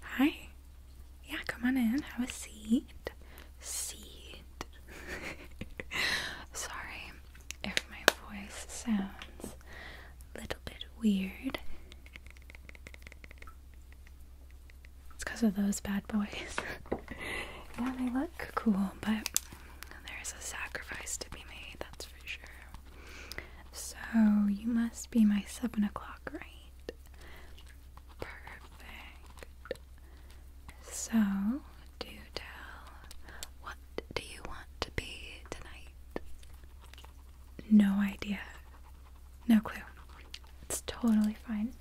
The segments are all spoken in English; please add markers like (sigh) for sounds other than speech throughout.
Hi. Yeah, come on in. Have a seat. Seat. (laughs) Sorry if my voice sounds a little bit weird. It's because of those bad boys. (laughs) yeah, they look cool, but there's a sacrifice to be made, that's for sure. So, you must be my 7 o'clock, right? Perfect. So, do tell. What do you want to be tonight? No idea. No clue. It's totally fine.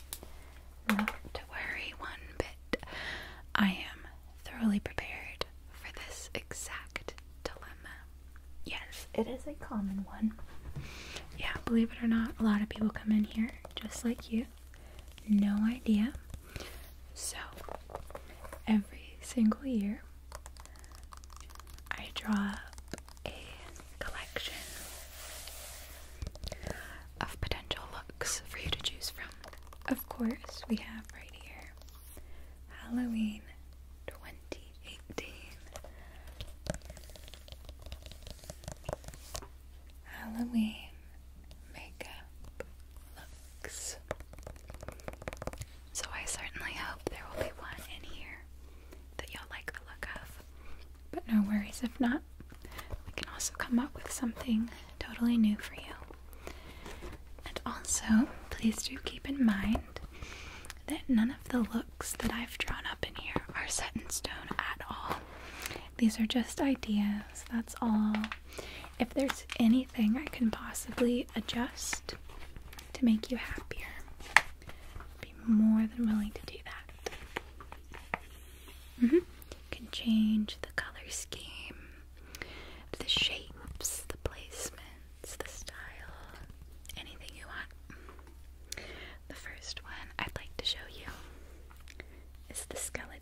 Not to worry one bit. I am thoroughly prepared for this exact dilemma. Yes, it is a common one. Yeah, believe it or not, a lot of people come in here just like you. No idea. So, every single year, I draw up a collection of potential looks for you to choose from. Of course, we have right here Halloween 20 eighteen. Halloween makeup looks. So I certainly hope there will be one in here that y'all like the look of. But no worries if not. We can also come up with something totally new for you. And also, please do keep in mind that none of the looks that I've drawn up in here are set in stone at all. These are just ideas, that's all. If there's anything I can possibly adjust to make you happier, I'd be more than willing to do that. Mm -hmm. can change the color scheme, the shapes, the placement, it's the style. Anything you want. The first one I'd like to show you is the skeleton.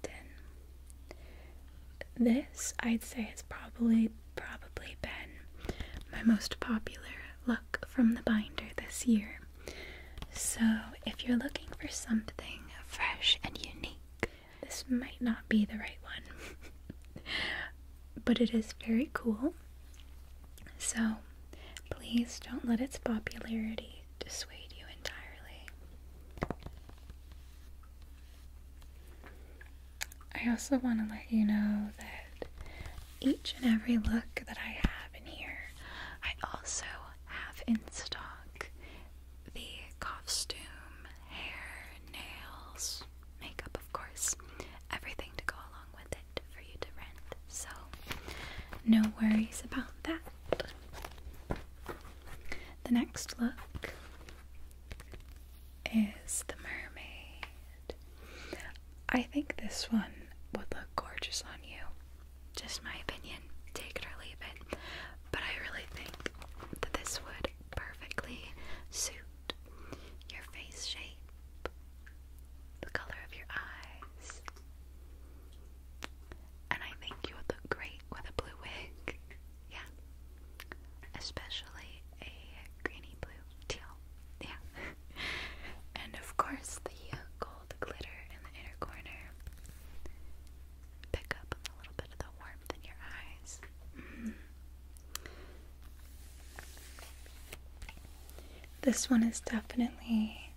This I'd say has probably probably been my most popular look from the binder this year. So if you're looking for something fresh and unique, this might not be the right one. (laughs) but it is very cool. So please don't let its popularity dissuade you entirely. I also want to let you know that each and every look that I have in here, I also have in stock the costume, hair, nails, makeup, of course, everything to go along with it for you to rent. So, no worries about that. The next look is the mermaid. I think this one would look gorgeous on you. Just my opinion. Take it or leave it. But I really think that this would perfectly suit your face shape, the color of your eyes. And I think you would look great with a blue wig. (laughs) Yeah. Especially a greeny blue teal. Yeah. (laughs) and of course, the uh, gold glitter in the inner corner. Pick up a little bit of the warmth in your eyes. Mm-hmm. This one is definitely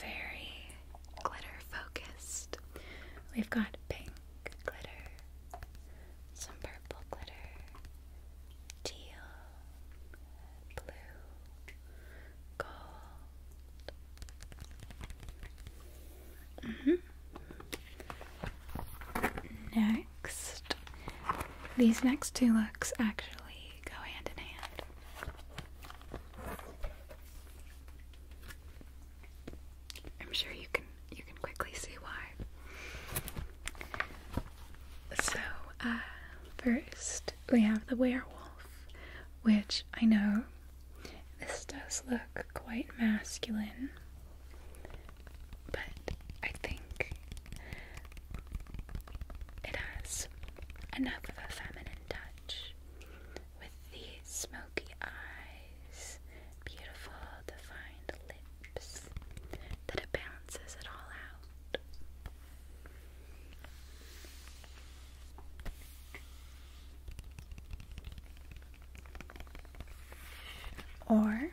very glitter focused. We've got pink glitter, some purple glitter, teal, blue, gold. Mm -hmm. Next. These next two looks actually go hand in hand. I'm sure you can you can quickly see why. So, uh, first we have the werewolf, which I know this does look quite masculine but I think it has enough of a feminine touch with the smoky eyes, beautiful defined lips, that balances it all out. Or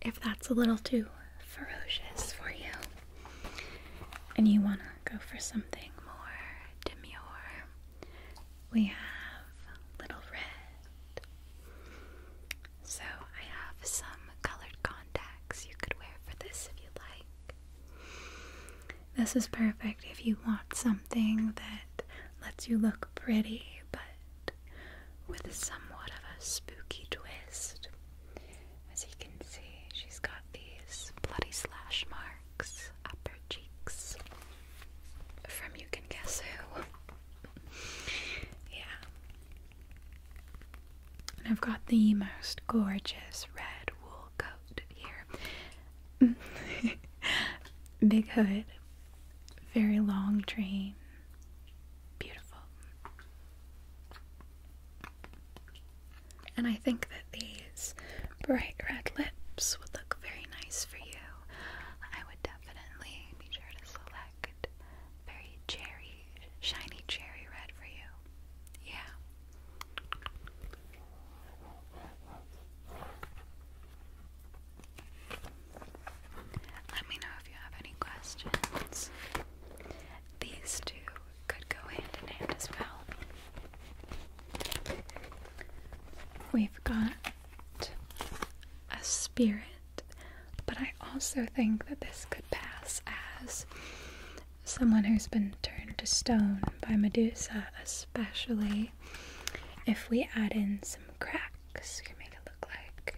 if that's a little too ferocious for you and you want to go for something more demure, we have Little Red. So I have some colored contacts you could wear for this if you like. This is perfect if you want something that lets you look pretty but with somewhat of a spooky twist. As you can see, she's got these bloody slash marks up her cheeks from you can guess who. (laughs) yeah. And I've got the most gorgeous red wool coat here. (laughs) Big hood, very long train, beautiful. And I think that these bright red lips would look very nice for you. I would definitely be sure to select very cherry, shiny cherry red for you. Yeah. Let me know if you have any questions. These two could go hand in hand as well. We've got a spirit, but I also think that this could pass as someone who's been turned to stone by Medusa, especially if we add in some cracks like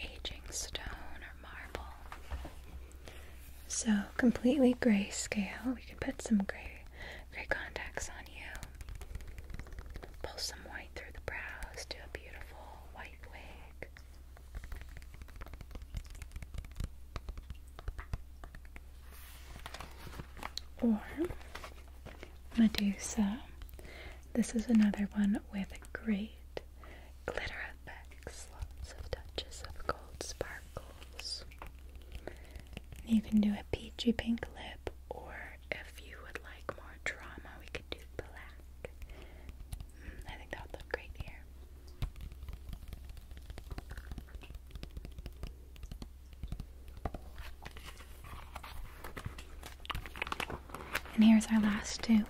aging stone or marble. So completely gray scale. We could put some gray gray contacts on you. Pull some white through the brows. to a beautiful white wig. Or Medusa. This is another one with great glitter effects, lots of touches of gold sparkles. You can do a peachy pink lip, or if you would like more drama, we could do black. Mm, I think that would look great here. And here's our last two.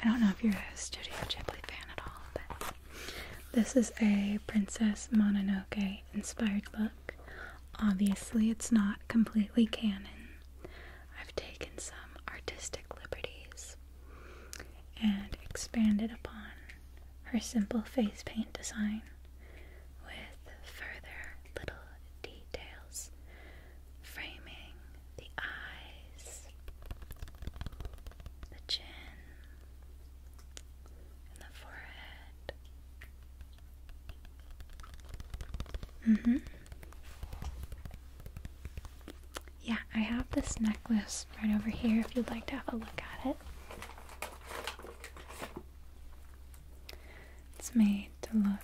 I don't know if you're a Studio Ghibli fan at all, but this is a Princess Mononoke inspired book. Obviously, it's not completely canon. I've taken some artistic liberties and expanded upon her simple face paint design with further little details framing the eyes, the chin, and the forehead. Mm-hmm. Yeah, I have this necklace right over here if you'd like to have a look at it. It's made to look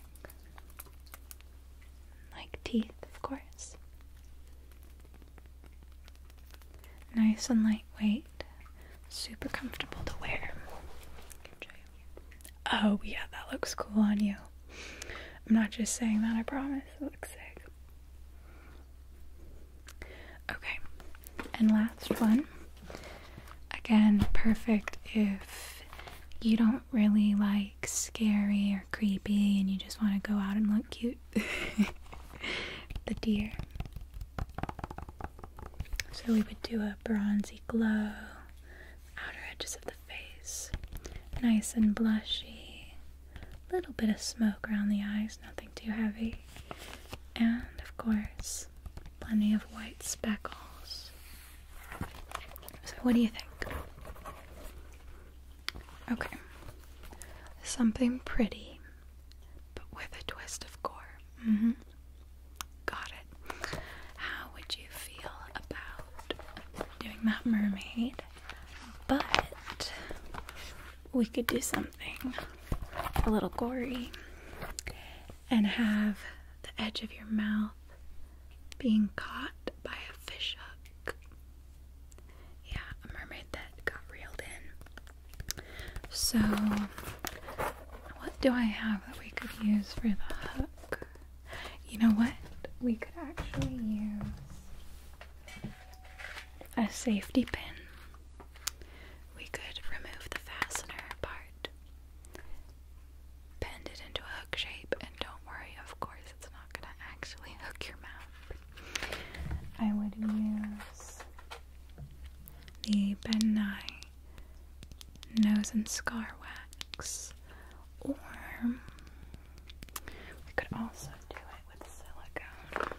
like teeth, of course. Nice and lightweight, super comfortable to wear. Oh, yeah, that looks cool on you. I'm not just saying that, I promise. It looks sick. Okay, and last one. Again, perfect if you don't really like scary or creepy and you just want to go out and look cute. (laughs) the deer. So we would do a bronzy glow, outer edges of the face, nice and blushy, little bit of smoke around the eyes, nothing too heavy, and of course, plenty of white speckles so, what do you think? Okay. Something pretty, but with a twist of gore. hmm. Got it. How would you feel about doing that mermaid? But we could do something a little gory and have the edge of your mouth being caught by a fish hook. Yeah, a mermaid that got reeled in. So, what do I have that we could use for the hook? You know what? We could actually use a safety pin. We could remove the fastener part bend it into a hook shape, and don't worry, of course, it's not going to actually (laughs) hook your mouth. I would use the Ben Nye Nose and Scar Wax, or we could also do it with silicone.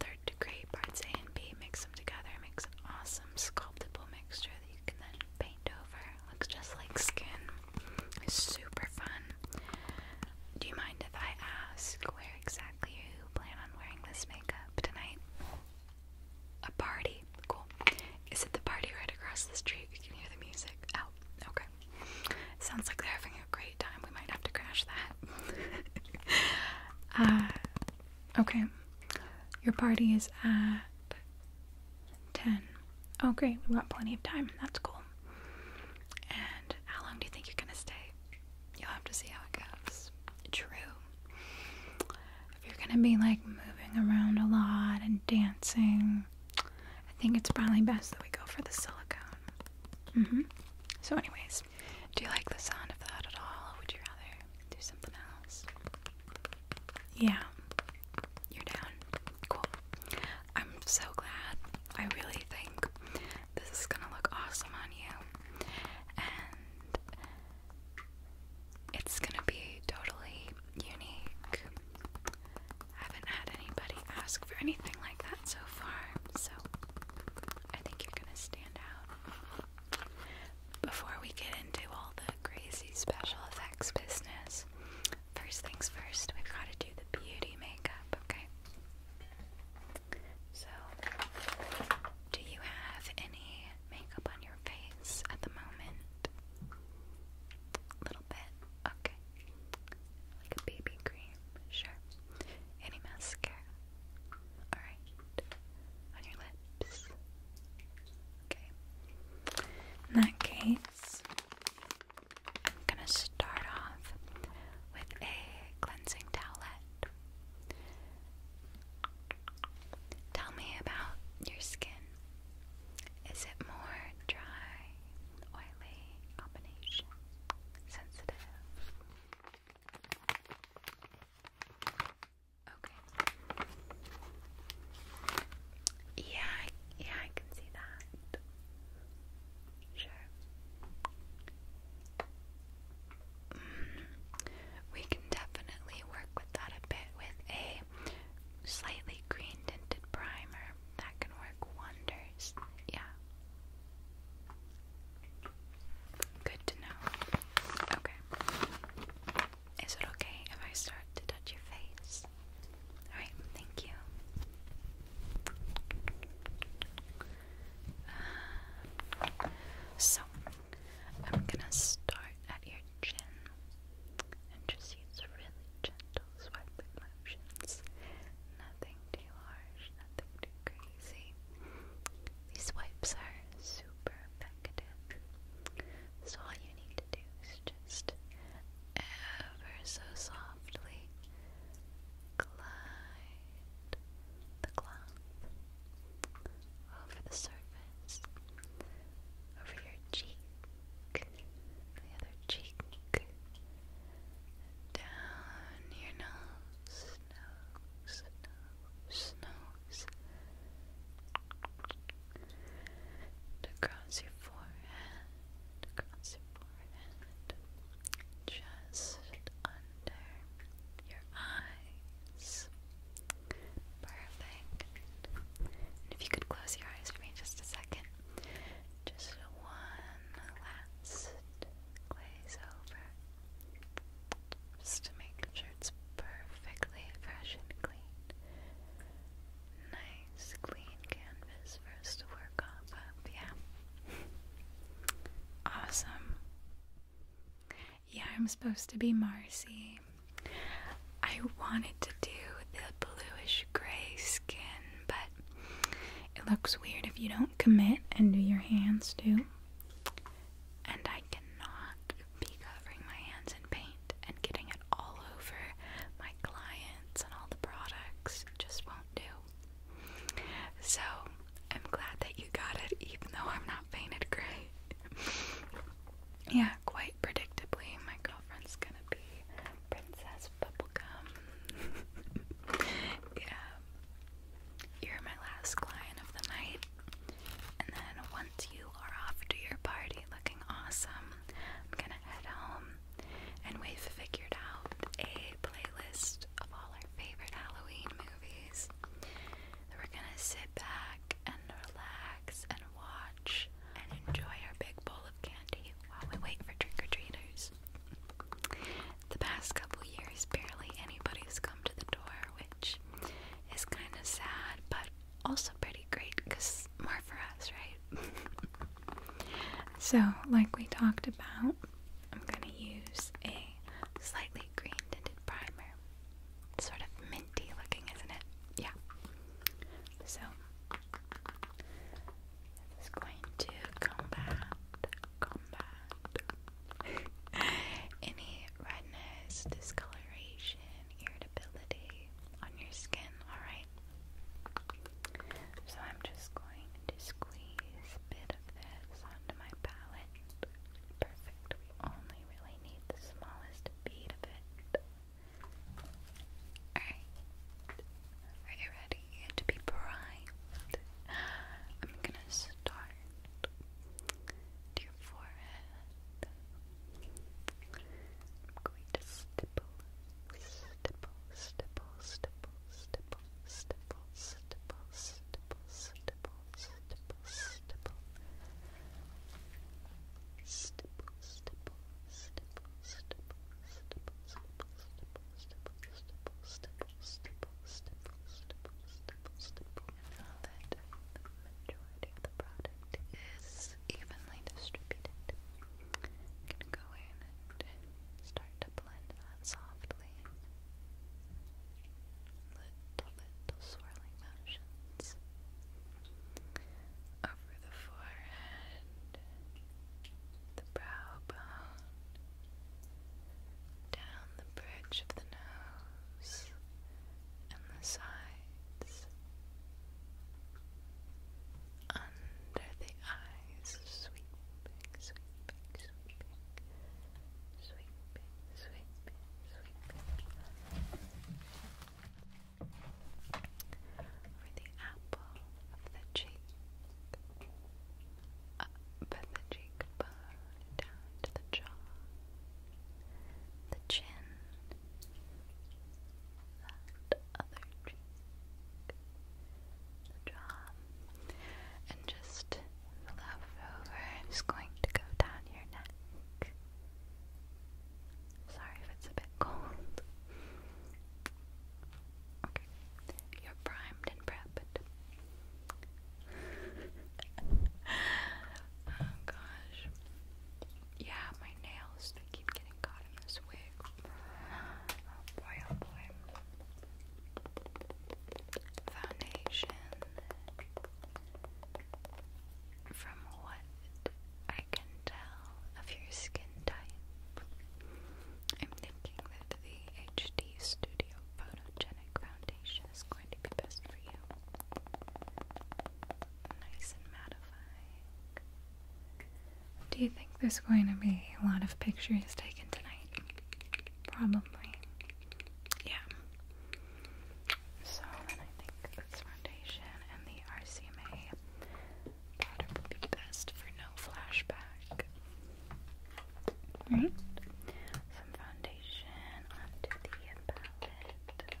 Third degree parts A and B, mix them together, makes an awesome sculptable mixture that you can then paint over Looks just like skin. It's super fun. Do you mind if I ask where exactly you plan on wearing this makeup tonight? A party. Cool. Is it the party right across the street? You can hear the music. Oh, okay. Sounds like they're having a great time. We might have to crash that. (laughs) Uh, okay. Your party is at 10. Oh, great. We've got plenty of time. That's cool. And how long do you think you're going to stay? You'll have to see how it goes. True. If you're going to be like moving around a lot and dancing, I think it's probably best that we go for the silicone. Mm hmm. So, anyways, do you like the sound of that at all? Or would you rather do something else? Yeah. You're down. Cool. I'm so glad. I really think this is gonna look awesome on you. And it's gonna be totally unique. haven't had anybody ask for anything like that so far, so I think you're gonna stand out before we get into all the crazy special effects business, first things first, we've got to do the beauty makeup, okay? So, do you have any makeup on your face at the moment? A little bit, okay. Like a BB cream, sure. Any mascara? Alright. On your lips? In that case, I'm gonna start off with a cleansing towelette. Tell me about your skin. Is it more dry, oily, combination, sensitive? Okay. Yeah, yeah, I can see that. Sure. Mm-hmm. we can definitely work with that a bit with a slightly green tinted primer. That can work wonders. Yeah. Good to know. Okay. Is it okay if I start to touch your face? Alright, thank you. so, I'm gonna start at your chin and just use really gentle swiping motions. Nothing too harsh, nothing too crazy. These wipes are super effective. So all you need to do just ever so softly glide the cloth over the surface, over your cheek, the other cheek, down your nose, nose, nose, nose across your forehead, across your forehead, just under your eyes. Perfect. if you could close your eyes for me just a second, just one last glaze over, just to make sure. It's perfectly fresh and clean. Nice clean canvas for us to work off yeah. awesome. Yeah, I'm supposed to be Marcy. I wanted to do the bluish gray skin, but it looks weird if you don't commit and do your hands too. And I cannot be covering my hands in paint and getting it all over my clients and all the products just won't do. So I'm glad that you got it, even though I'm not painted gray. (laughs) yeah, quite predictably, my girlfriend's gonna be Princess Bubblegum. (laughs) yeah. You're my last client of the night. And then once you are off to your party looking awesome, I'm gonna head home and we've figured out a playlist of all our favorite Halloween movies. we're gonna sit back and relax and watch and enjoy our big bowl of candy while we wait for trick or treaters. The past couple years, barely anybody's come to the door, which is kind of sad, but also pretty great because more for us, right? (laughs) so, like we talked about, I'm going to use a slightly green tinted primer. It's sort of minty looking, isn't it? Yeah. So, this going to combat, combat (laughs) any redness, discoloration, irritability on your skin, alright? So I'm just going to squeeze a bit of this onto my palette. Perfect. We only really need the smallest bead of it. Alright. Are you ready to be primed? I'm gonna start your forehead. I'm going to stipple, stipple, stipple, stipple, stipple, stipple, stipple, stipple, stipple, stipple, stipple. Stipple, stipple, stipple, stipple, stipple, stipple, stipple, stipple, stipple, stipple, stipple, stipple, stipple, stipple, stipple, stipple that the majority of the product is evenly distributed. go in and start to blend that softly. Little, little swirling motions over the forehead, the brow bone, down the bridge of the nose and the sides, under the eyes, sweeping, sweeping, sweeping, sweeping, sweeping, sweeping, over the apple of the cheek, up at the cheekbone, down to the jaw the chin, that other cheek, jaw, and just the leftover. i going to go down your neck. Sorry if it's a bit cold. Okay, you're primed and prepped. (laughs) oh gosh yeah, my nails, they keep getting caught in this wig. Oh boy, oh boy. Foundation from what I can tell of your skin type. I'm thinking that the HD Studio Photogenic Foundation is going to be best for you nice and mattifying. Do you think there's going to be a lot of pictures taken tonight? Probably. Yeah. So I think this foundation and the RCMA powder be best for no flashback. Right? Some foundation onto the palette.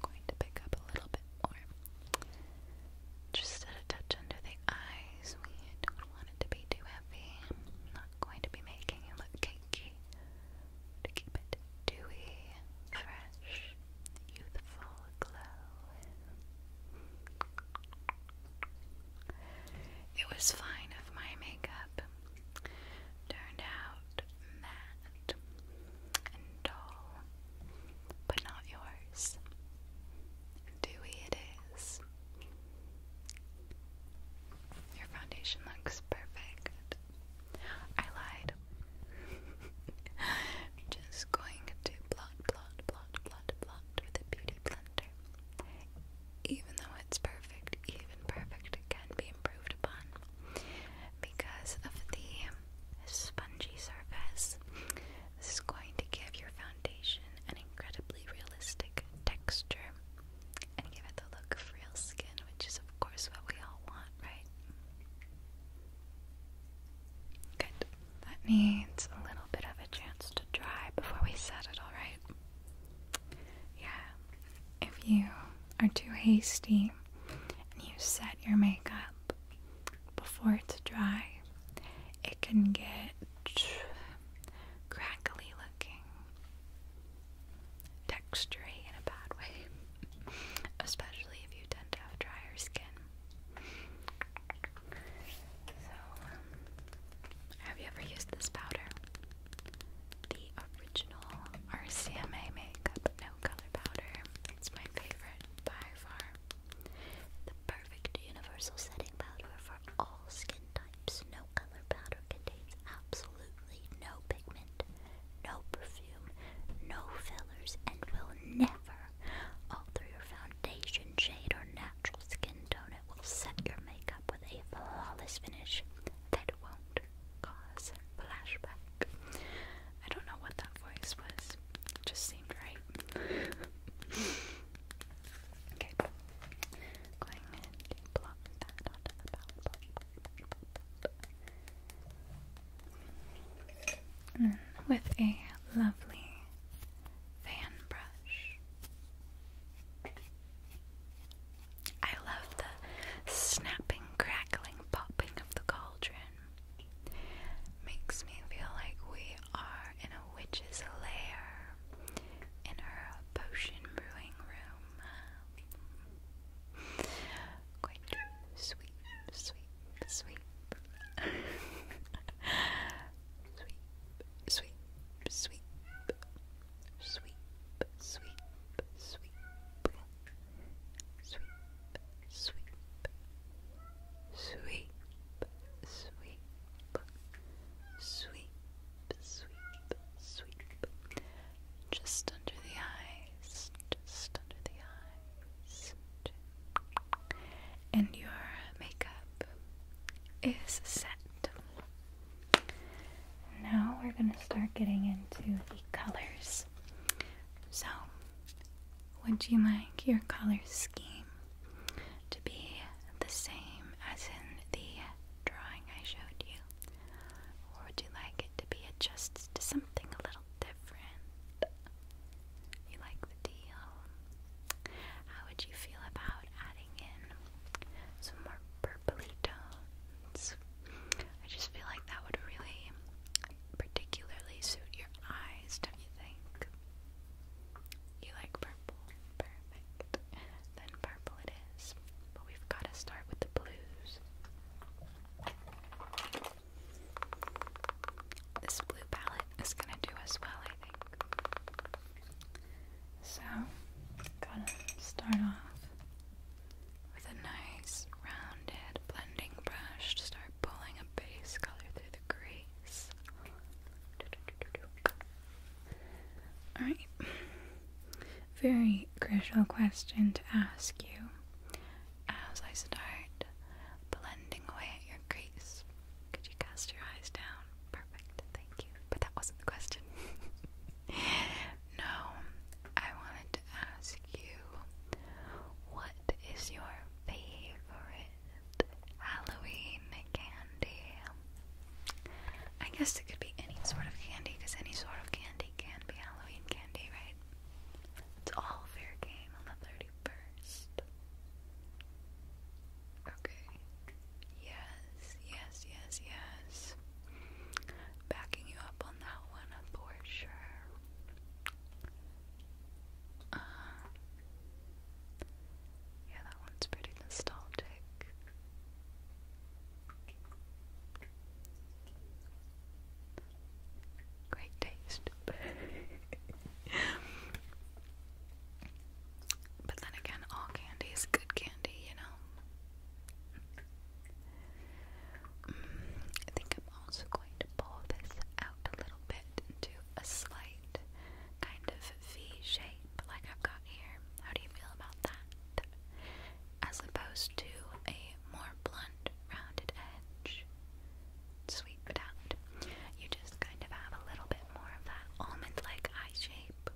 Going to pick up a little bit more. Just a touch under the eyes. We don't want it to be too heavy. not going to be making you look cakey to keep it dewy, fresh, youthful glow. It was fine if my makeup. Turned out matte and dull, but not yours. Dewy it is. Your foundation looks perfect. I lied. (laughs) Just going to blot, blot, blot, blot, blot with a beauty blender. Even though it's perfect, even perfect, it can be improved upon because of the spongy surface. This is going to give your foundation an incredibly realistic texture and give it the look of real skin, which is, of course, what we all want, right? Good. That needs a little bit of a chance to dry before we set it, alright? Yeah. If you are too hasty and you set your makeup before it's dry, it can get crackly looking textury in a bad way, (laughs) especially if you tend to have drier skin. So, um, have you ever used this powder? The original RCMA Makeup No Color Powder. It's my favorite by far. The perfect universal setting powder for all skin types. No color powder contains absolutely no no perfume, no fillers, and will never alter your foundation, shade, or natural skin tone. It will set your makeup with a flawless finish that won't cause flashback. I don't know what that voice was. just seemed right. okay. Going and plop that onto the palette with a lovely fan brush. I love the snapping, crackling, popping of the cauldron. Makes me feel like we are in a witch's lair in her potion brewing room. Quite sweet, sweet, sweet. sweep, sweep, sweep, sweep, sweep, sweep, sweep, sweep, sweep, sweep, sweep, sweep, sweep just under the eyes, just under the eyes. And your makeup is set. Now we're going to start getting into the colors. So, would you like your color scheme to be the same as in the drawing I showed you? Or would you like to be adjusted to something a little different. You like the deal? How would you feel about adding in some more purpley tones? I just feel like that would really particularly suit your eyes, don't you think? You like purple? Perfect. Then purple it is. But we've got to start with the blues. This blue palette is going to do us well, I think. So, gonna start off with a nice rounded blending brush to start pulling a base color through the crease. Alright, very crucial question to ask you as I start blending away at your crease. Could you cast your eyes down? Perfect, thank you. But that wasn't the question. (laughs) no, I wanted to ask you what is your favorite Halloween candy? I guess it could be any sort of candy because any sort of candy can be Halloween candy, right? It's all fair game on the 31st. Okay. Yes, yes, yes, yes. Backing you up on that one for sure. Uh, yeah, that one's pretty nostalgic. Great taste. (laughs) but then again, all candy is good candy, you know? Mm, I think I'm also going to pull this out a little bit into a slight kind of V shape like I've got here. How do you feel about that? as opposed to a more blunt, rounded edge. Sweep out. You just kind of have a little bit more of that almond like eye shape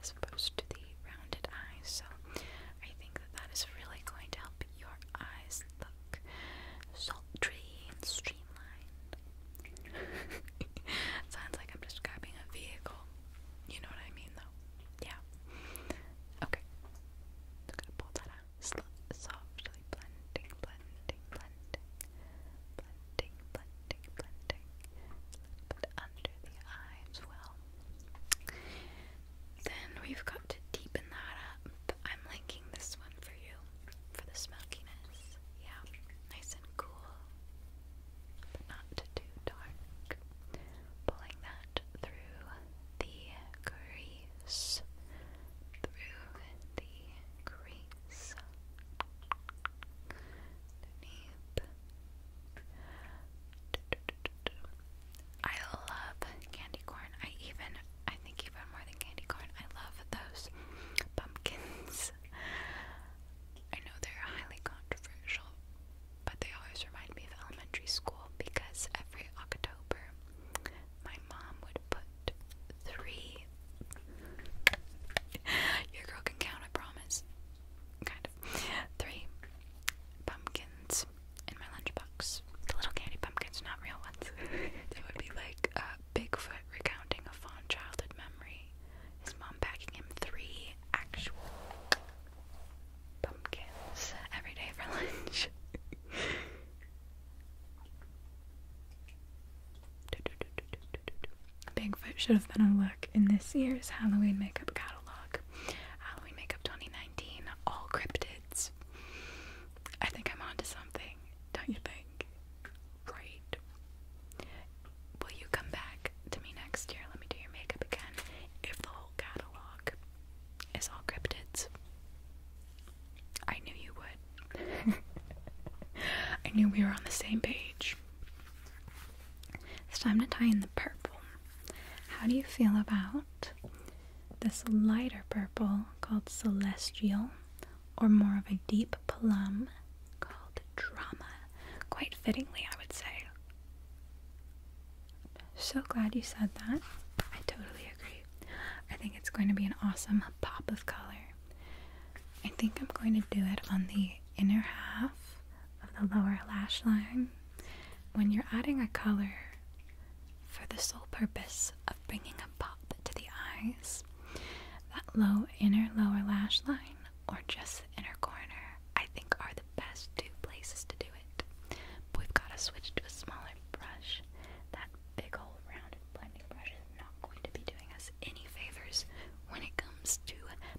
as opposed to the rounded eyes. So I think that that is really going to help your eyes look sultry and streamlined. (laughs) Sounds like I'm describing a vehicle. You know what I mean, though. Yeah. Okay. i gonna pull that out. Sl softly blending, blending, blending, blending, blending, blending. under the eye well. Then we've got to deepen that up. But I'm linking this one for you, for the smokiness. Yeah, nice and cool not too dark. Pulling that through the crease, through the crease, I love candy corn. I even, I think even more than candy corn, I love those pumpkins. I know they're highly controversial, but they always remind me of elementary school because every October my mom would put three. Your girl can count, I promise. Kind of. Three pumpkins in my lunchbox. The little candy pumpkins, not real ones. (laughs) they would be like uh, Bigfoot recounting a fond childhood memory. His mom packing him three actual pumpkins every day for (laughs) lunch. Bigfoot should have been a look in this year's Halloween makeup catalog. Halloween makeup 2019, all cryptids. I think I'm onto something, don't you think? Right will you come back to me next year? Let me do your makeup again. If the whole catalog is all cryptids, I knew you would. (laughs) I knew we were on the same page. It's time to tie in the purple. How do you feel about this lighter purple called Celestial, or more of a deep plum called Drama? Quite fittingly, I would say. So glad you said that. I totally agree. I think it's going to be an awesome pop of color. I think I'm going to do it on the inner half of the lower lash line. When you're adding a color for the sole purpose of bringing a pop to the eyes, that low inner lower lash line or just the inner corner, I think are the best two places to do it. But we've got to switch to a smaller brush. That big old round blending brush is not going to be doing us any favors when it comes to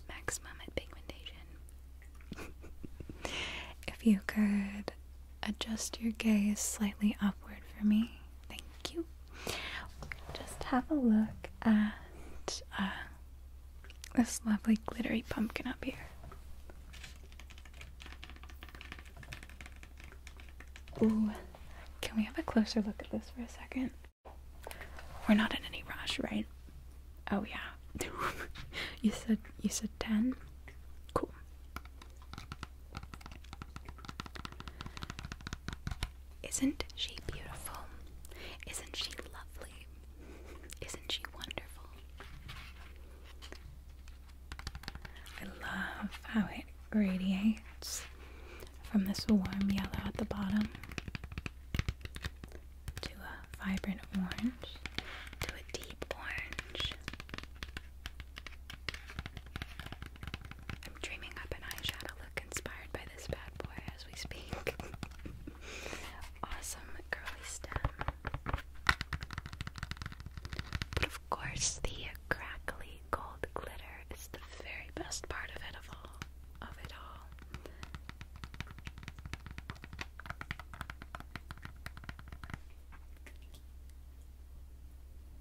maximum pigmentation. (laughs) if you could adjust your gaze slightly upward for me, thank you. Just have a look at uh, this lovely glittery pumpkin up here. can we have a closer look at this for a second? We're not in any rush, right? Oh yeah. (laughs) you said you said ten? Cool. Isn't she beautiful? Isn't she lovely? Isn't she wonderful? I love how it radiates from this warm yellow at the bottom to a vibrant orange to a deep orange. I'm dreaming up an eyeshadow look inspired by this bad boy as we speak. (laughs) awesome curly stem. of course, the crackly gold glitter is the very best part of it of all. Of it all.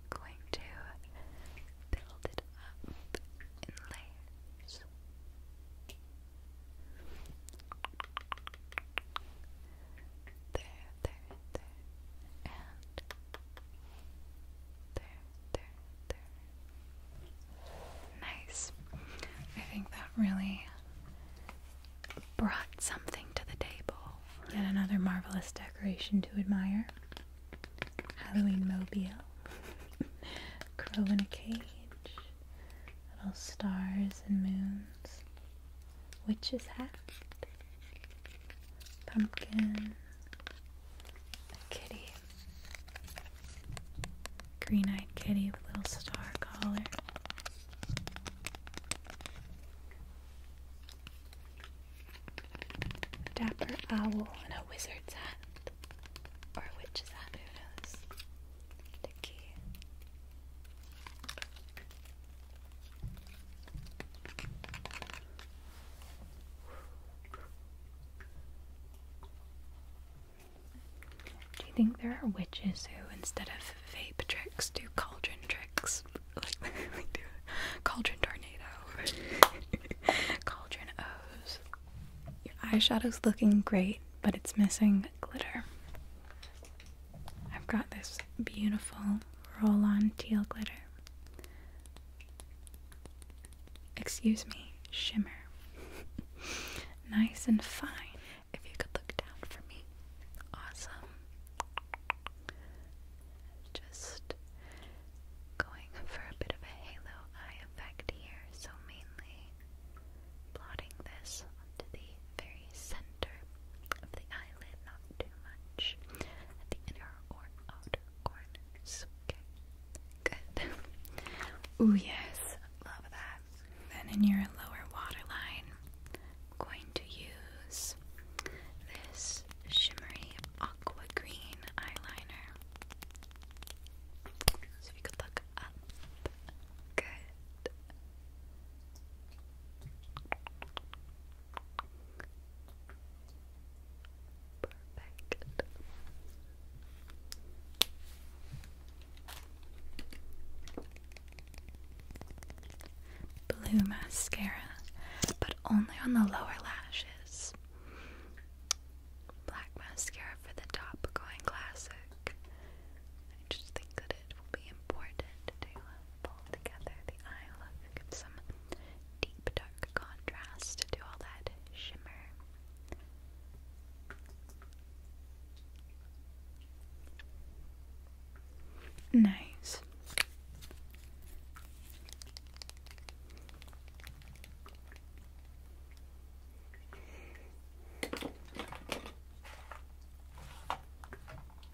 Going to build it up in layers. There, there, there, and there, there, there. Nice. I think that really brought something to the table. Yet another marvelous decoration to admire. Halloween mobile. (laughs) Crow in a cage little stars and moons, witch's hat, pumpkin, kitty, green-eyed kitty with little star collar. Dapper owl in a wizard's hat. Or a witch's hat, who knows? Do you think there are witches who, instead of vape tricks, do cauldron tricks? (laughs) Like, (laughs) cauldron tornado, (laughs) cauldron O's. Your eyeshadow's looking great, but it's missing glitter. I've got this beautiful roll on teal glitter. Excuse me, shimmer. (laughs) nice and fine. If you could look down for me. Awesome. Just going for a bit of a halo eye effect here, so mainly plotting this onto the very center of the eyelid, not too much at the inner or outer corners. good. (laughs) Ooh, yes, love that. Then in your lower waterline, I'm going to use this shimmery aqua green eyeliner. So if could look Good. Perfect. Blue mascara, but only on the lower lashes black mascara for the top going classic. I just think that it will be important to pull together the eye look, give some deep dark contrast to all that shimmer. Nice.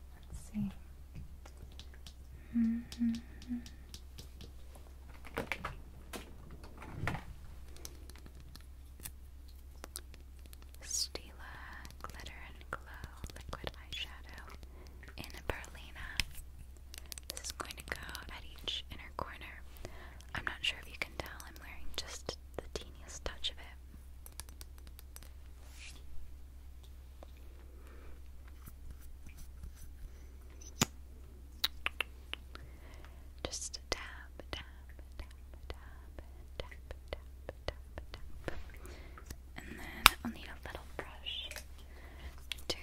Let's see. Mm -hmm. Stila Glitter and Glow Liquid Eyeshadow in Berlina. This is going to go at each inner corner. I'm not sure if you can tell I'm wearing just the teeniest touch of it. Just tap, tap, tap, tap, tap, tap, tap, tap. And then I'll need a little brush to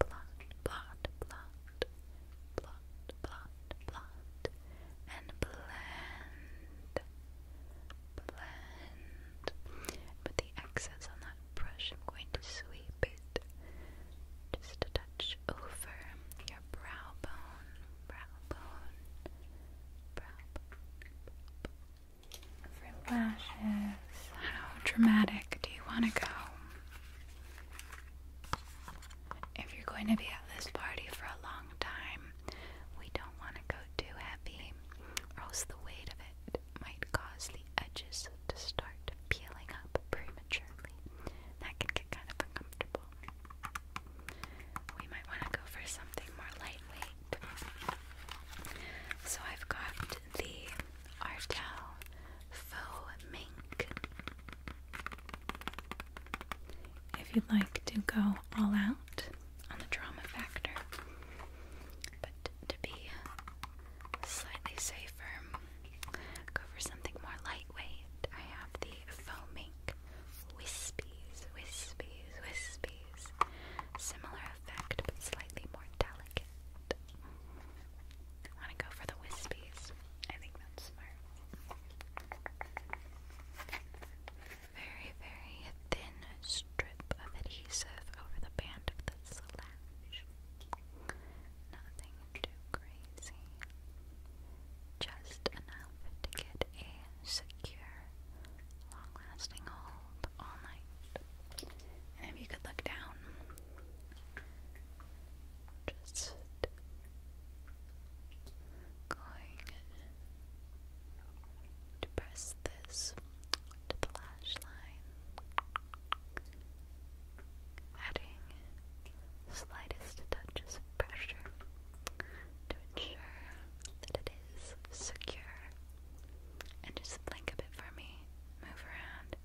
blot, blot, blot, blot, and blend, blend. With the excess on that brush, I'm going to sweep it just a touch over your brow bone, brow bone, brow bone. For lashes, how dramatic do you want to go? If you're going to be at this party for a long time, we don't want to go too heavy, or else the weight of it might cause the edges to start peeling up prematurely. That can get kind of uncomfortable. We might want to go for something more lightweight. So I've got the Artel faux mink. If you'd like to go all out on the drama factor, but to be slightly safer, go for something more lightweight. I have the faux mink wispies, wispies, wispies. Similar effect, but slightly more delicate. I want to go for the wispies. I think that's smart. Very, very thin strip of adhesive over the band of the slash. Nothing too crazy. Just enough to get a secure, long lasting hold all night. And you could look down, just going to press this to the lash line, adding slightest touches of pressure to ensure that it is secure. And just blink a bit for me. Move around.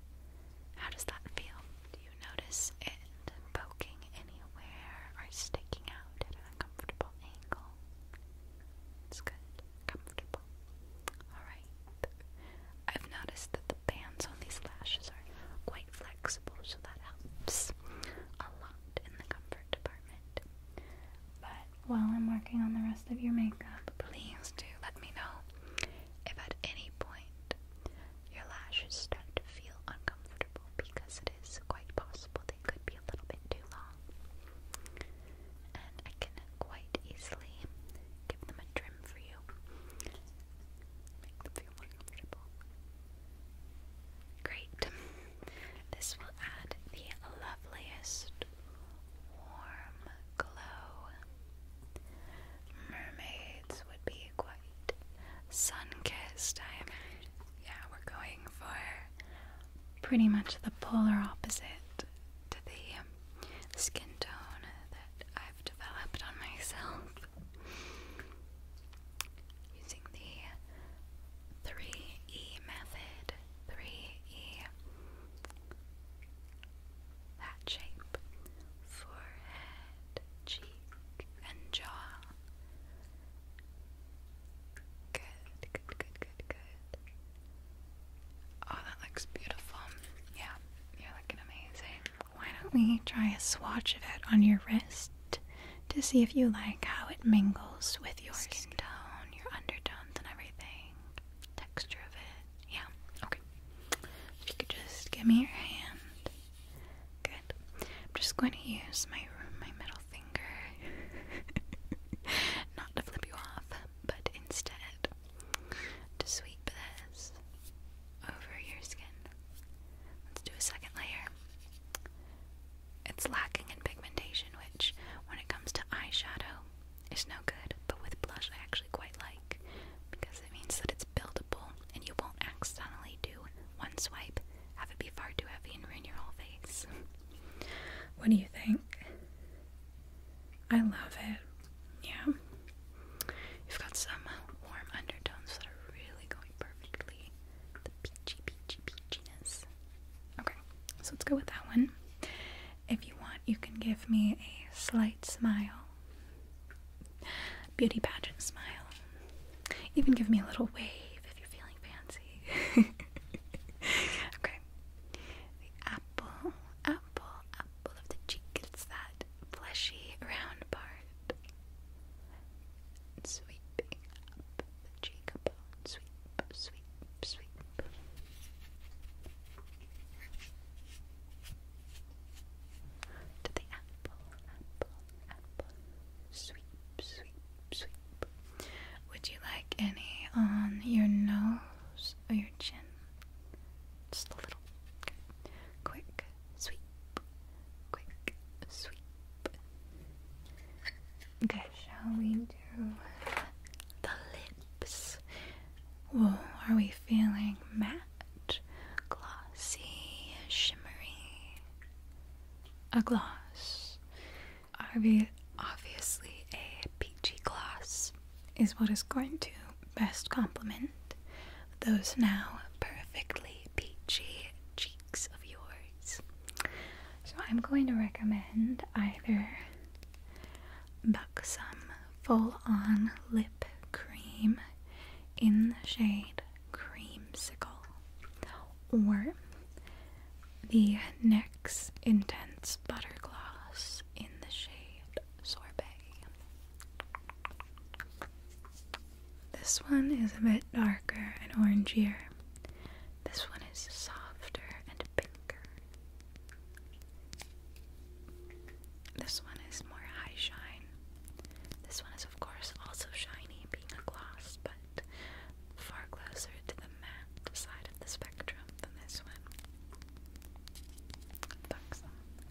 How does that feel? you notice it poking anywhere or sticking out at an uncomfortable angle? It's good. Comfortable. Alright. I've noticed that the bands on these lashes are quite flexible, so that helps a lot in the comfort department. But while I'm working on the rest of your makeup, please do let me know if at any point your lashes start to feel uncomfortable because it is quite possible they could be a little bit too long. And I can quite easily give them a trim for you. Make them feel more comfortable. Great. This will add the loveliest warm glow. Mermaid would be quite sun kissed, I am. Yeah, we're going for pretty much the polar opposite to the um, skin tone that I've developed on myself. Using the 3E method, 3E that shape forehead, cheek, and jaw. Good, good, good, good, good. Oh, that looks beautiful. Yeah, you're looking amazing. Why don't we try a swatch of it on your wrist to see if you like how it mingles with your tone, your undertones, and everything? Texture of it. Yeah, okay. If you could just give me your hand. Good. I'm just going to use my my middle finger, (laughs) not to flip you off, but instead to sweep this over your skin. Let's do a second layer. It's lacking in pigmentation, which, when it comes to eyeshadow, is no good. But with blush, I actually quite like because it means that it's buildable and you won't accidentally do one swipe, have it be far too heavy and ruin your whole face. What do you think? I love it. Yeah. You've got some warm undertones that are really going perfectly. The peachy, peachy, peachiness. Okay, so let's go with that one. If you want, you can give me a slight smile. Beauty pageant smile. Even give me a little wave if you're feeling fancy. (laughs) okay. The apple, apple, apple of the cheek. It's that fleshy round part. Sweeping up the cheekbone. Sweep, sweep, sweep. To the apple, apple, apple. Sweep, sweep, Would you like any on your nose or your chin? Just a little. Okay. Quick, sweep. Quick, sweep. Okay, shall we do the lips? Whoa, are we feeling matte matte, glossy, shimmery. A gloss. Obviously, a peachy gloss is what is going to best complement those now perfectly peachy cheeks of yours. So, I'm going to recommend either Buxom Full On Lip Cream in the shade creamsicle. Or the NYX Intense Butter Gloss in the shade Sorbet. This one is a bit darker and orangier. This one is softer and pinker. This one is more high shine. This one is of course also shiny, being a gloss, but far closer to the matte side of the spectrum than this one.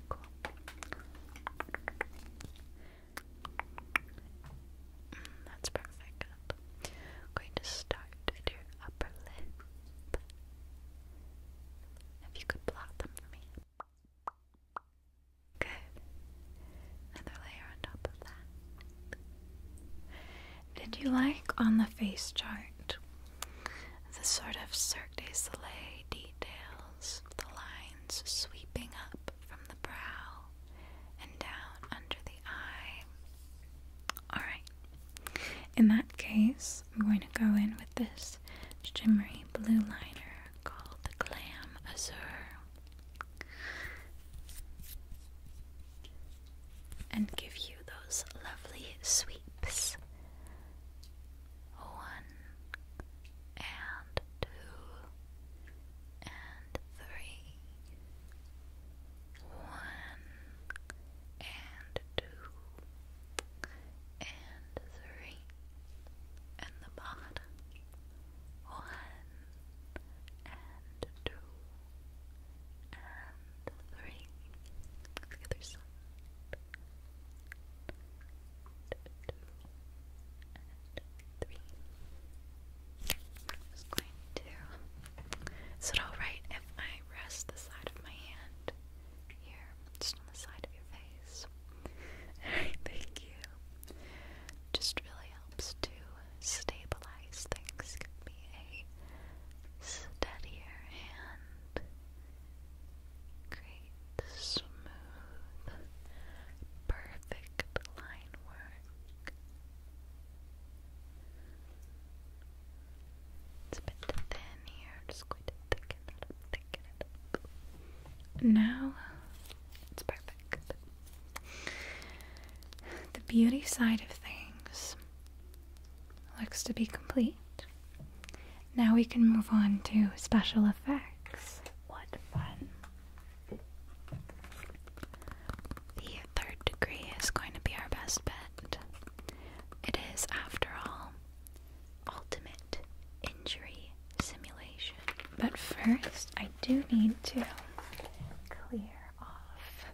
Cool. Mm, that's perfect. going to start with your upper lip. If you could blot them for me. Good. Another layer on top of that. Did you like on the face chart the sort of Cirque du Soleil details, the lines sweeping up from the brow and down under the eye? Alright. In that case, I'm going to go in with this this shimmery blue liner called the Glam Azure and give you those lovely sweeps. One and two and three. One and two and three in the bottom. One and two and three. The other side. Two and 3 Is it alright if I rest the side of my hand here, just on the side of your face? (laughs) thank you. Just really helps to stabilize things. Give me a steadier hand. Great, smooth, perfect line work. It's a bit thin here, just going now it's perfect. The beauty side of things looks to be complete. Now we can move on to special effects. What fun! The third degree is going to be our best bet. It is, after all, ultimate injury simulation. But first, I do need to clear off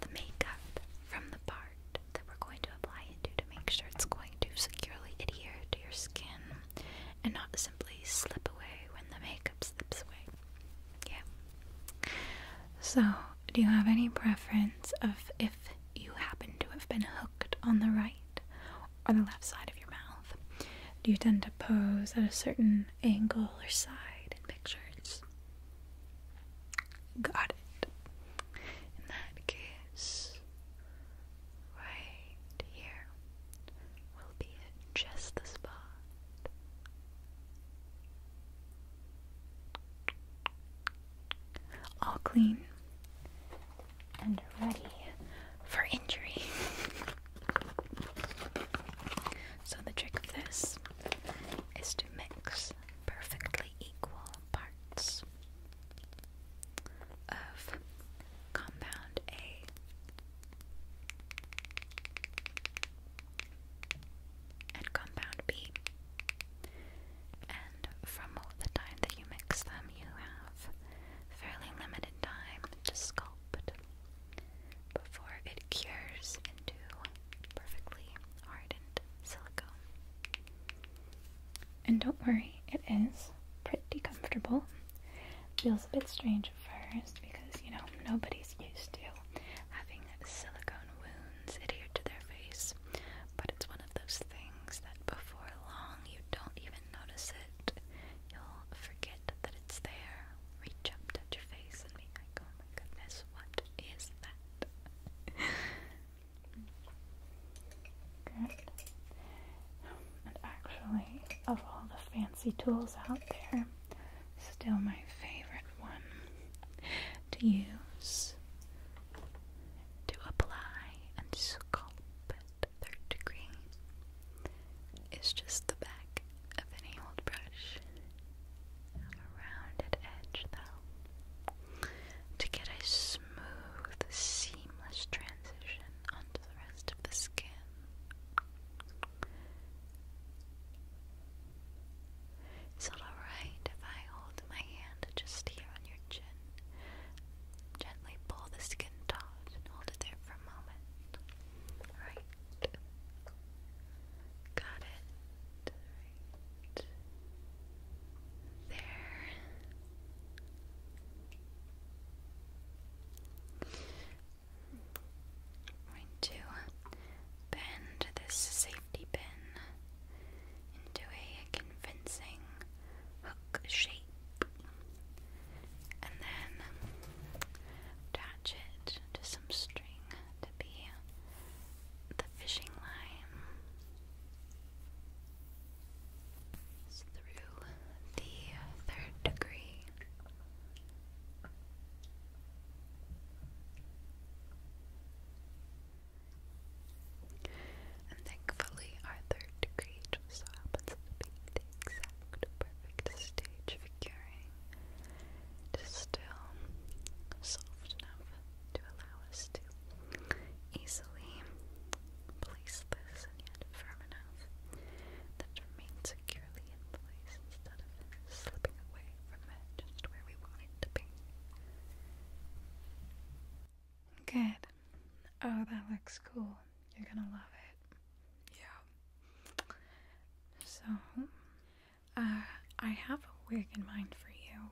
the makeup from the part that we're going to apply it to to make sure it's going to securely adhere to your skin and not simply slip away when the makeup slips away. Yeah. So, do you have any preference of if you happen to have been hooked on the right on the left side of your mouth? Do you tend to pose at a certain angle or side in pictures? Got it. In that case, right here will be just the spot. All clean and ready for injury. so, the trick of this is to mix perfectly equal parts of compound A. And compound B, from all the time that you mix them, you have fairly limited time to sculpt before it cures into perfectly hardened silicone. And don't worry, it is pretty comfortable. Feels a bit strange at first because, you know, nobody's used to having silicone wounds adhered to their face, but it's one of those things that before long you don't even notice it, you'll forget that it's there. Reach up, touch your face, and be like, oh my goodness, what is that? Good. and actually, of all the fancy tools out there, still my favorite one to use to apply and sculpt the third degree is just the back of any old brush. A rounded edge, to get a smooth, seamless transition onto the rest of the skin. Is alright if I hold my hand just here on your chin? Gently pull the skin taut and hold it there for a moment. Right. Got it. There. going to bend this safety pin into a convincing hook shape and then attach it to some string to be the fishing line through the third degree. And thankfully, our third degree just so happens to be the exact perfect stage for curing. It is still soft enough to allow us to easily place this, and yet firm enough that remains securely in place instead of slipping away from it just where we want it to be. Good. Oh, that looks cool. You're gonna love it. Yeah. So, uh, I have a wig in mind for you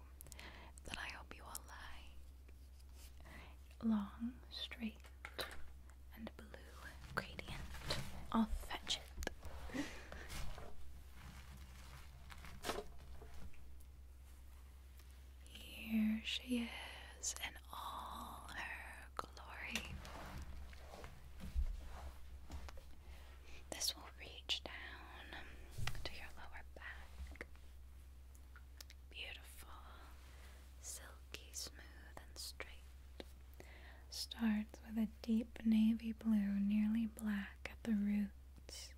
that I hope you will like. Long, straight, and blue gradient. I'll fetch it. Here she is in all her glory. This will reach down to your lower back. Beautiful, silky smooth and straight. Starts with a deep navy blue, nearly black at the roots.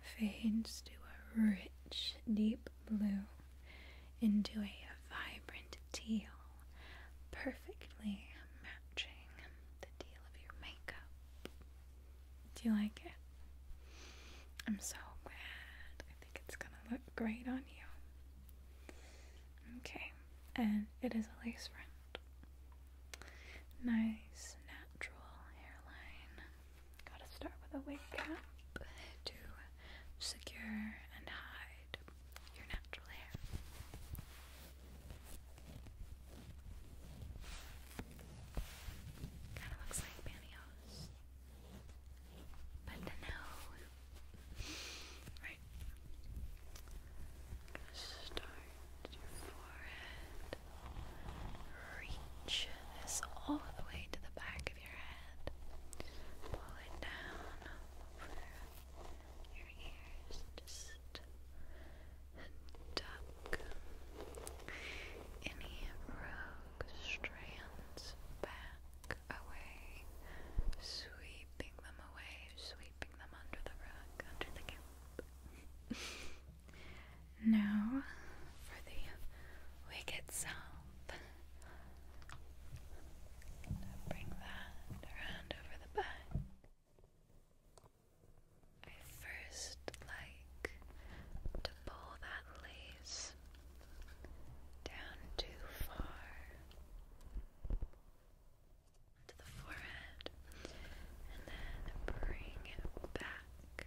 Fades to a rich, deep blue into a vibrant teal, perfectly matching the teal of your makeup. Do you like it? I'm so glad. I think it's gonna look great on you. Okay, and it is a lace front. Nice natural hairline. Gotta start with a wig cap to secure and hide your natural hair. Kind of looks like pantyhose, but no. Right. Start your forehead. Reach this all the way to the back back of your head. Pull it down over your ears. Just tuck any rogue strands back away, sweeping them away, sweeping them under the rug, under the cap. (laughs) Now for the wig itself. Bring that around over the back. I first like to pull that lace down too far to the forehead and then bring it back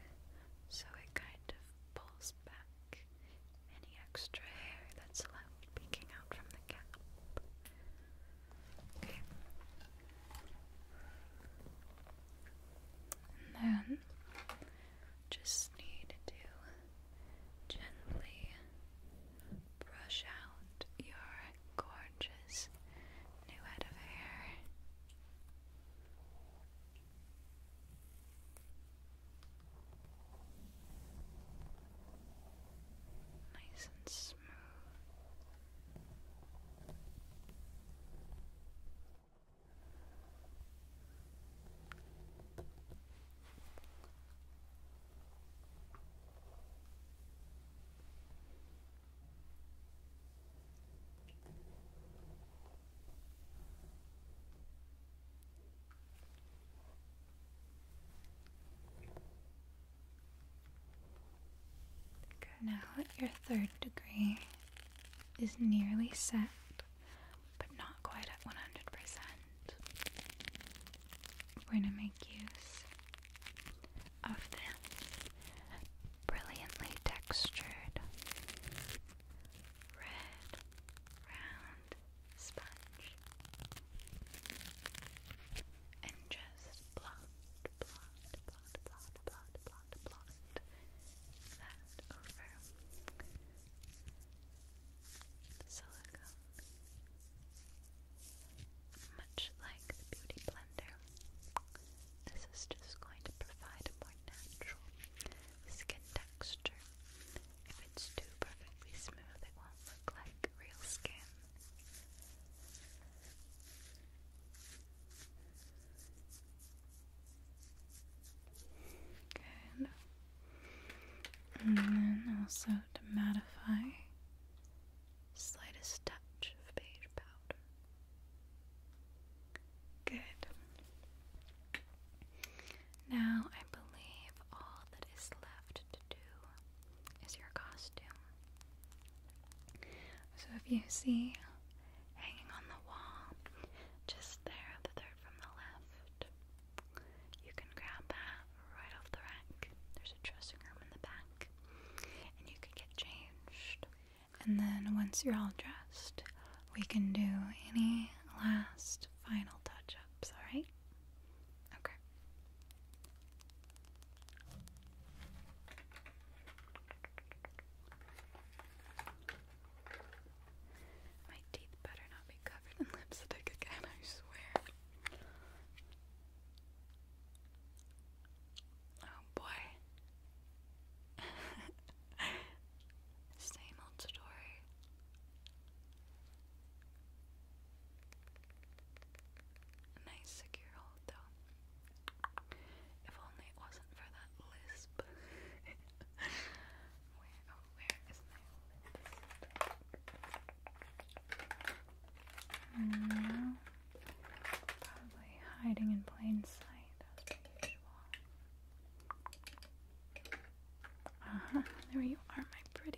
so it kind of pulls back, any extra hair that's left peeking out from the cap. And then just need to gently brush out your gorgeous new head of hair. Nice and smooth. Now that your third degree is nearly set, but not quite at 100%, we're going to make use of this brilliantly textured red round sponge and just blot, blot, blot, blot, blot, blot, blot that over silicone much like the beauty blender this is just going to provide a more natural skin texture. If it's too perfectly smooth, it won't look like real skin. And then also to mattify, slightest touch of beige powder. Good. Now I believe all that is left to do is your costume. So if you see hanging on the wall, just there, the third from the left, you can grab that right off the rack. There's a dressing room in the back, and you can get changed. And then once you're all dressed, we can do any last final touch ups, alright? Okay. My teeth better not be covered in (laughs) lipstick again, I swear. Oh boy. (laughs) Same old story. nice secure though. If only it wasn't for that lisp. (laughs) where oh where is my lisp? Mm, Probably hiding in plain sight as usual. Uh-huh, there you are, my pretty.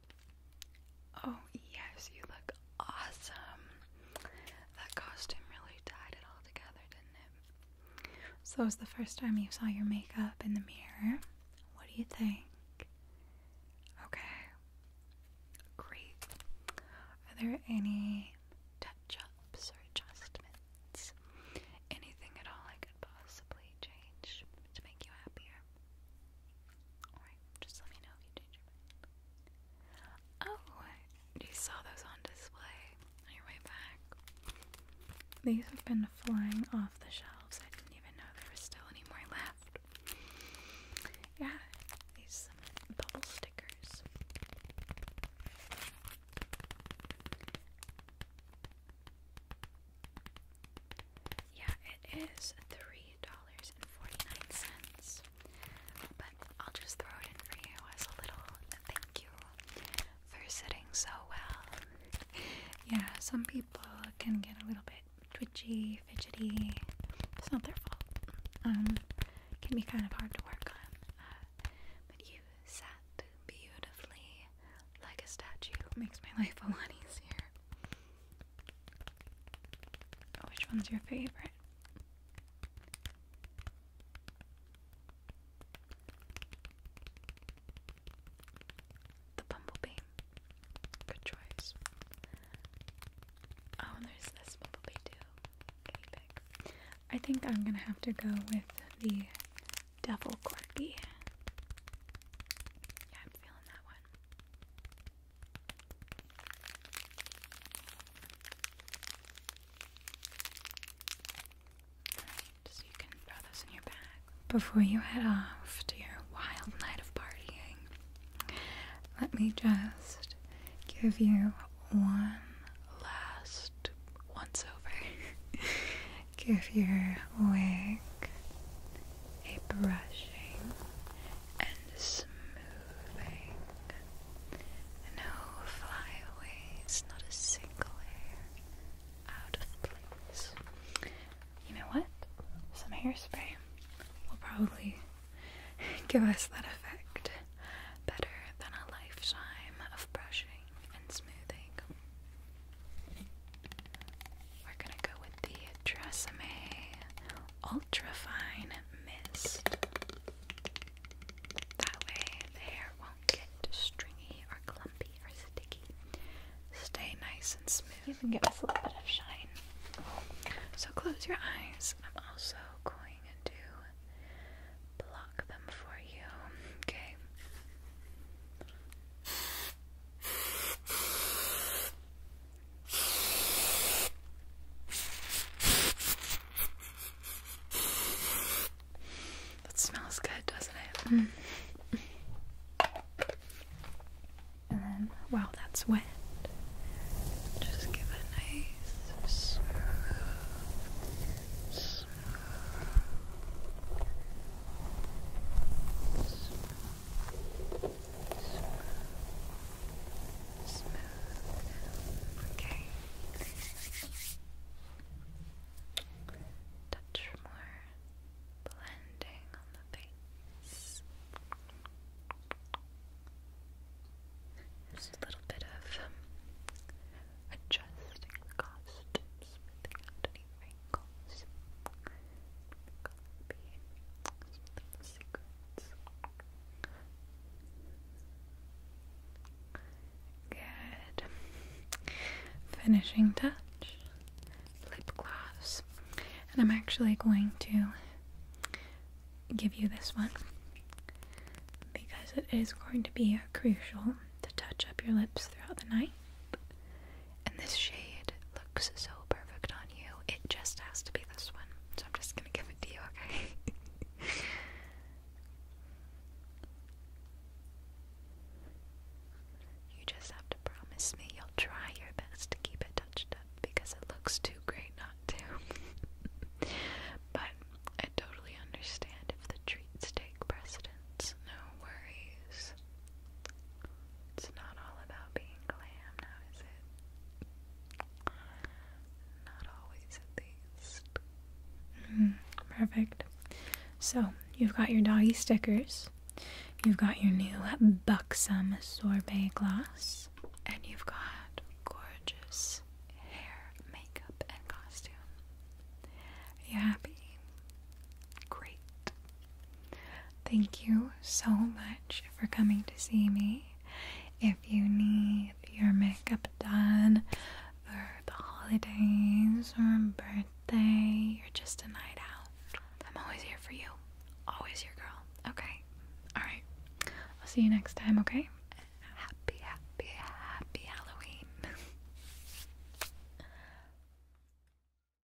Oh, yes, you look awesome. That costume really tied it all together, didn't it? So, it was the first time you saw your makeup in the mirror. What do you think? Okay, great. Are there any touch ups or adjustments? Anything at all I could possibly change to make you happier? Oh, you saw those on display on your way back. These have been flying off the shelves. I didn't even know there was still any more left. Yeah, these bubble stickers. Yeah, it is $3.49. But I'll just throw it in for you as a little thank you for sitting so well. (laughs) yeah, some people can get a little bit twitchy, fidgety. It's not their fault. Um, it can be kind of hard to work on. Uh, but you sat beautifully like a statue. Makes my (laughs) life a lot easier. Oh, which one's your favorite? The bumblebee. Good choice. Oh, there's this bumblebee too. Guinea pig. I think I'm gonna have to go with the devil corgi. Yeah, I'm feeling that one before you head off to your wild night of partying. Let me just give you one last once over. (laughs) give you a wig a brushing and smoothing, no flyaways, not a single hair out of place. You know what? Some hairspray will probably give us that effect better than a lifetime of brushing and smoothing. We're gonna go with the Tresemme Ultrafine Mist. That way the hair won't get stringy or clumpy or sticky. Stay nice and smooth. You give us a little bit of shine. So close your eyes. I'm also going to block them for you. Okay. That smells good, doesn't it? Mm. And then, while that's wet, just give a nice smooth, smooth Smooth. Smooth. Okay. Touch more blending on the face. Just a little bit of um, adjusting the costume, smoothing out any Good. Finishing touch, lip gloss. And I'm actually going to give you this one because it is going to be crucial to touch up your lips throughout the night. And this shade looks so perfect on you. It just has to be this one. So I'm just gonna give it to you, okay? (laughs) you just have to promise me you'll try your best to keep it touched up because it looks too great not to. (laughs) but I totally understand if the treats take precedence. No worries. It's not all about being glam now, is it? Not always, at least. Mm-hmm. perfect. So, you've got your doggy stickers, you've got your new buxom sorbet glass, and you've got gorgeous hair, makeup, and costume. Are you happy? Great. Thank you so much for coming to see me. If you need your makeup done for the holidays or birthday, you're just a night out. I'm always here for you. Always your girl. Okay? Alright. I'll see you next time, okay? Happy, happy, happy Halloween. (laughs)